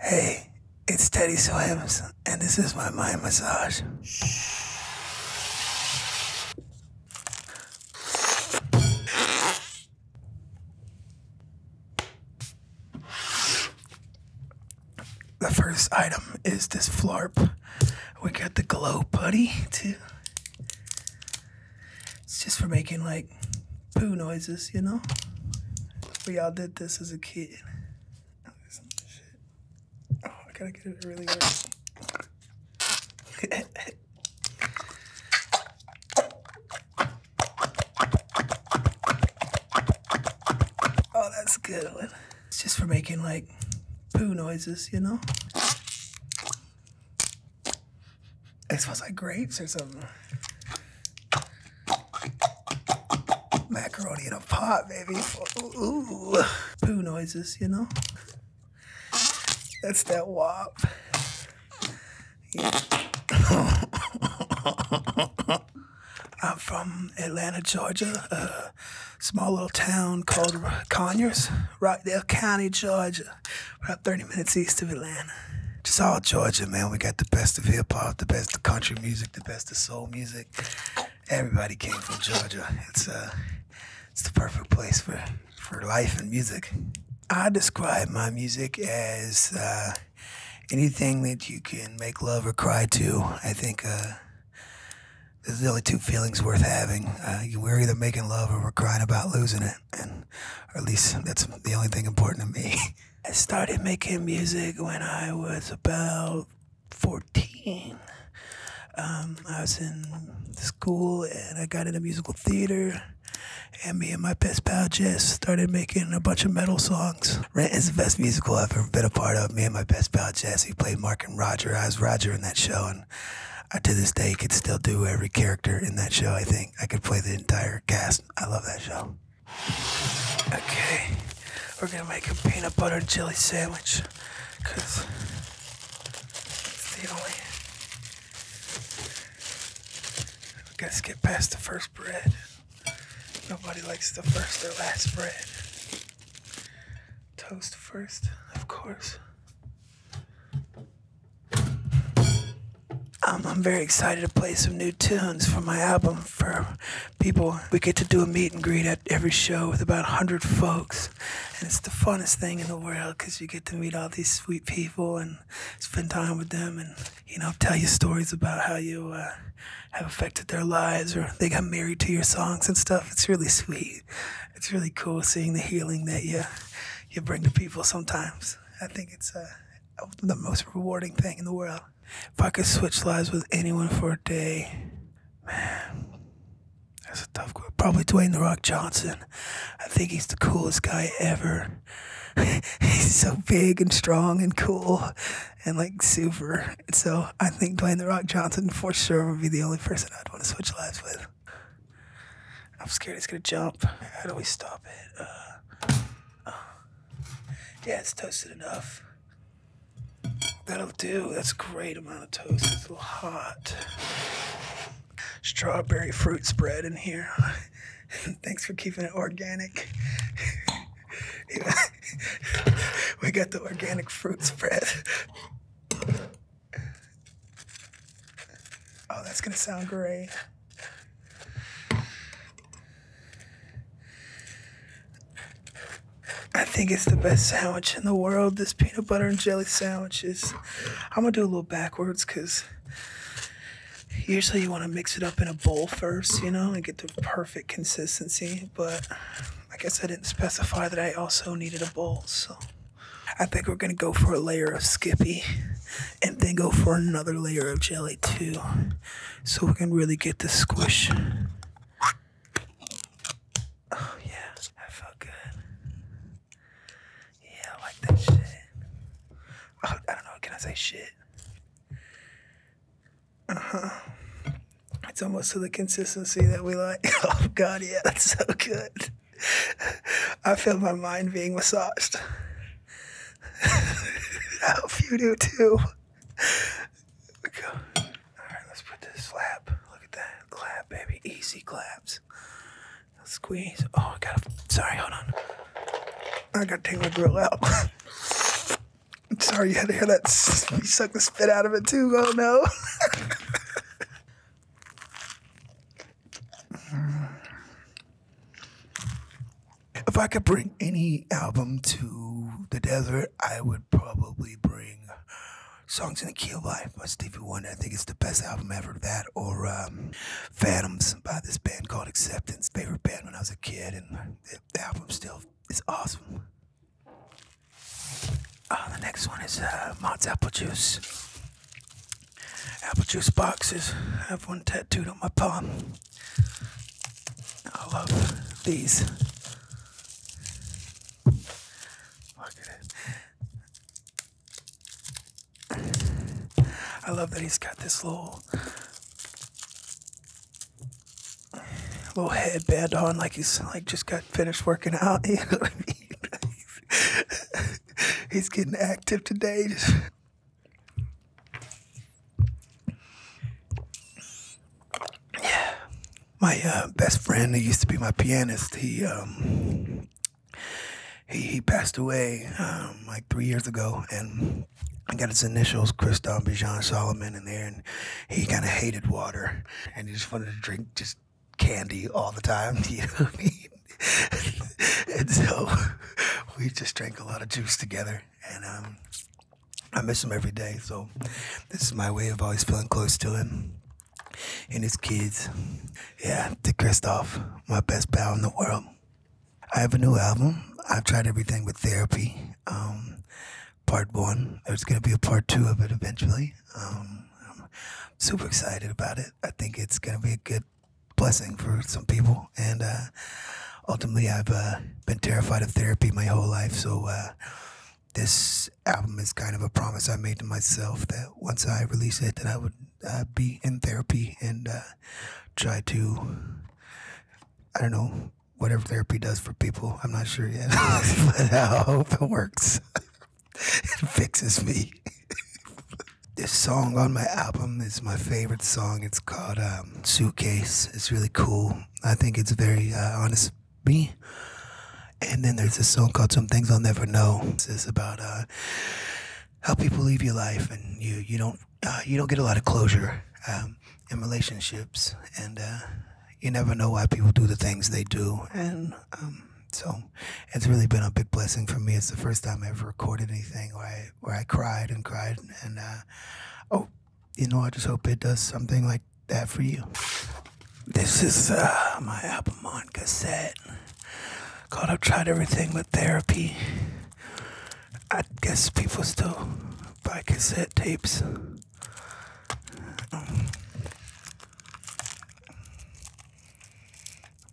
Hey, it's Teddy Sohamus, and this is my mind massage. The first item is this flarp. We got the glow putty too. It's just for making like poo noises, you know? We all did this as a kid. Oh, I gotta get it really works. oh, that's good It's just for making like poo noises, you know? It smells like grapes or something. Macaroni in a pot, baby. Ooh. Poo noises, you know? That's that wop. I'm from Atlanta, Georgia, a small little town called Conyers, Rockdale County, Georgia, about 30 minutes east of Atlanta just all Georgia, man. We got the best of hip hop, the best of country music, the best of soul music. Everybody came from Georgia. It's uh, it's the perfect place for for life and music. I describe my music as uh, anything that you can make love or cry to. I think uh, there's the only two feelings worth having. Uh, we're either making love or we're crying about losing it, and or at least that's the only thing important to me. I started making music when I was about 14. Um, I was in school and I got into musical theater. And me and my best pal Jess started making a bunch of metal songs. Rent is the best musical I've ever been a part of. Me and my best pal Jess, we played Mark and Roger. I was Roger in that show. And I, to this day, could still do every character in that show, I think. I could play the entire cast. I love that show. Okay, we're gonna make a peanut butter and jelly sandwich because it's the only. gotta skip past the first bread. Nobody likes the first or last bread. Toast first, of course. Um, I'm very excited to play some new tunes from my album for people. We get to do a meet and greet at every show with about a 100 folks. And it's the funnest thing in the world because you get to meet all these sweet people and spend time with them and, you know, tell you stories about how you uh, have affected their lives or they got married to your songs and stuff. It's really sweet. It's really cool seeing the healing that you, you bring to people sometimes. I think it's, uh, the most rewarding thing in the world. If I could switch lives with anyone for a day, man, that's a tough Probably Dwayne The Rock Johnson. I think he's the coolest guy ever. he's so big and strong and cool and like super. So I think Dwayne The Rock Johnson for sure would be the only person I'd want to switch lives with. I'm scared he's gonna jump. How do we stop it? Uh, Yeah, it's toasted enough. That'll do. That's a great amount of toast. It's a little hot. Strawberry fruit spread in here. Thanks for keeping it organic. we got the organic fruit spread. Oh, that's going to sound great. I think it's the best sandwich in the world. This peanut butter and jelly sandwich is. I'm gonna do a little backwards because usually you want to mix it up in a bowl first, you know, and get the perfect consistency. But I guess I didn't specify that I also needed a bowl, so I think we're gonna go for a layer of Skippy and then go for another layer of jelly too so we can really get the squish oh yeah that felt good yeah I like that shit oh, I don't know can I say shit uh-huh it's almost to the consistency that we like oh god yeah that's so good I feel my mind being massaged I hope you do too. We go. All right, let's put this slap. Look at that clap, baby. Easy claps. squeeze. Oh, I got Sorry, hold on. I gotta take my grill out. sorry you had to hear that. You suck the spit out of it too. Oh no. Mm. If I could bring any album to the desert, I would probably bring Songs in a Key by Stevie Wonder. I think it's the best album ever. That or um, Phantoms by this band called Acceptance. Favorite band when I was a kid, and the album still is awesome. Uh, the next one is uh, Apple Juice. Apple Juice boxes. I have one tattooed on my palm. I love these. Look at it. I love that he's got this little little headband on, like he's like just got finished working out. You know what I mean? he's getting active today. Yeah. My uh, best friend, who used to be my pianist, he um, he, passed away um, like three years ago, and I got his initials, Christophe Bijan Solomon, in there, and he kind of hated water, and he just wanted to drink just candy all the time. You know what I mean? and so we just drank a lot of juice together. And um, I miss him every day. So this is my way of always feeling close to him and his kids. Yeah, to Kristoff, my best pal in the world. I have a new album. I've tried everything with therapy. Um, part one. There's going to be a part two of it eventually. Um, I'm super excited about it. I think it's going to be a good blessing for some people. And uh, ultimately, I've uh, been terrified of therapy my whole life. So uh, this album is kind of a promise I made to myself that once I release it, that I would be in therapy and try to, I don't know, whatever therapy does for people. I'm not sure yet, but I hope it works. it fixes me. This song on my album is my favorite song. It's called um, Suitcase. It's really cool. I think it's very uh, honest me. And then there's this song called Some Things I'll Never Know. It's about uh, how people leave your life and you you don't uh, you don't get a lot of closure um, in relationships, and you never know why people do the things they do. And um, so, it's really been a big blessing for me. It's the first time I ever recorded anything right? where I cried and cried and uh, oh, you know, I just hope it does something like that for you. This is uh, my album on cassette called I've Tried Everything But Therapy. I guess people still buy cassette tapes. Um,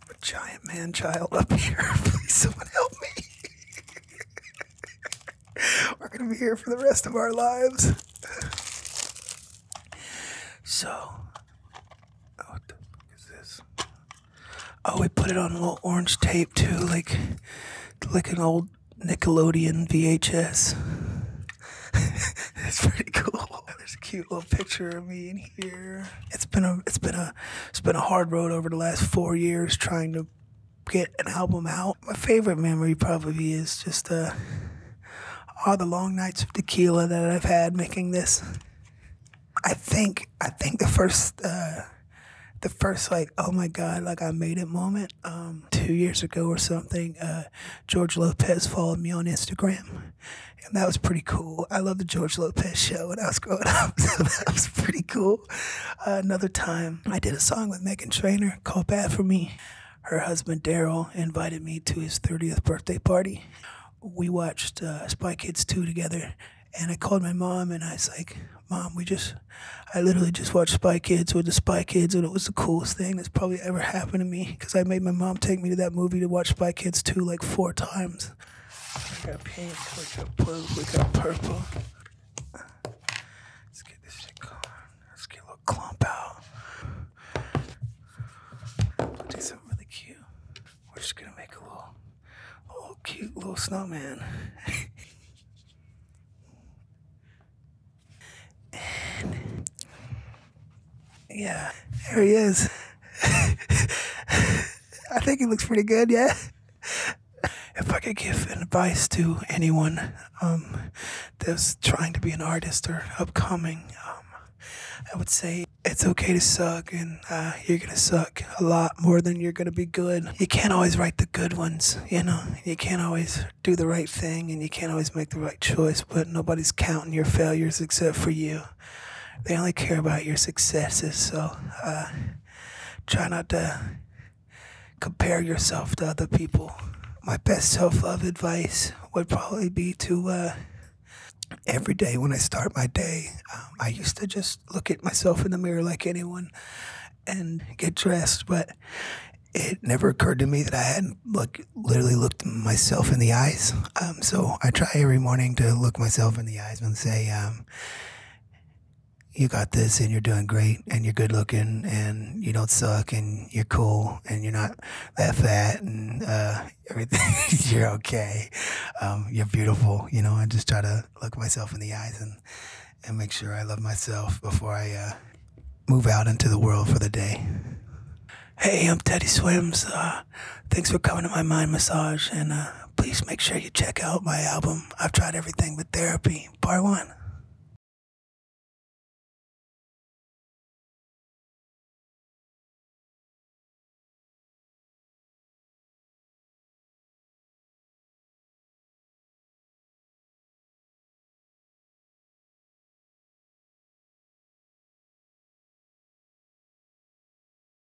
I'm a giant man child up here. Please, someone help me. We're going to be here for the rest of our lives. So, oh, what the fuck is this? Oh, we put it on a orange tape too, like like an old Nickelodeon VHS. it's pretty cool. There's a cute little picture of me in here. It's been a it's been a it's been a hard road over the last four years trying to get an album out. My favorite memory probably is just uh, all the long nights of tequila that I've had making this. I think I think the first uh, the first like oh my god like I made it moment um, two years ago or something. Uh, George Lopez followed me on Instagram, and that was pretty cool. I loved the George Lopez show when I was growing up. pretty cool. Uh, another time, I did a song with Megan Trainor called "Bad for Me." Her husband Daryl invited me to his 30th birthday party. We watched uh, Spy Kids 2 together, and I called my mom and I was like, "Mom, we just, I literally just watched Spy Kids with the Spy Kids, and it was the coolest thing that's probably ever happened to me because I made my mom take me to that movie to watch Spy Kids 2 like four times." We got pink, we got blue, we got purple. Let's get this shit going. Let's get a clump out. We'll do something really cute. We're just gonna make a little, little cute little snowman. yeah, there he is. I think he looks pretty good, yeah if I could give advice to anyone um, that's trying to be an artist or upcoming, um, I would say it's okay to suck, and uh, you're gonna suck a lot more than you're gonna be good. You can't always write the good ones, you know. You can't always do the right thing, and you can't always make the right choice. But nobody's counting your failures except for you. They only care about your successes. So. Uh, try not to compare yourself to other people. My best self love advice would probably be to uh, every day when I start my day, um, I used to just look at myself in the mirror like anyone and get dressed, but it never occurred to me that I hadn't look literally looked myself in the eyes. Um, so I try every morning to look myself in the eyes and say, um, you got this and you're doing great and you're good looking and you don't suck and you're cool and you're not that fat and uh, everything. you're okay. Um, you're beautiful. You know, I just try to look myself in the eyes and, and make sure I love myself before I uh, move out into the world for the day. Hey, I'm Teddy Swims. Uh, thanks for coming to my mind massage. And uh, please make sure you check out my album, I've Tried Everything But Therapy, Part 1.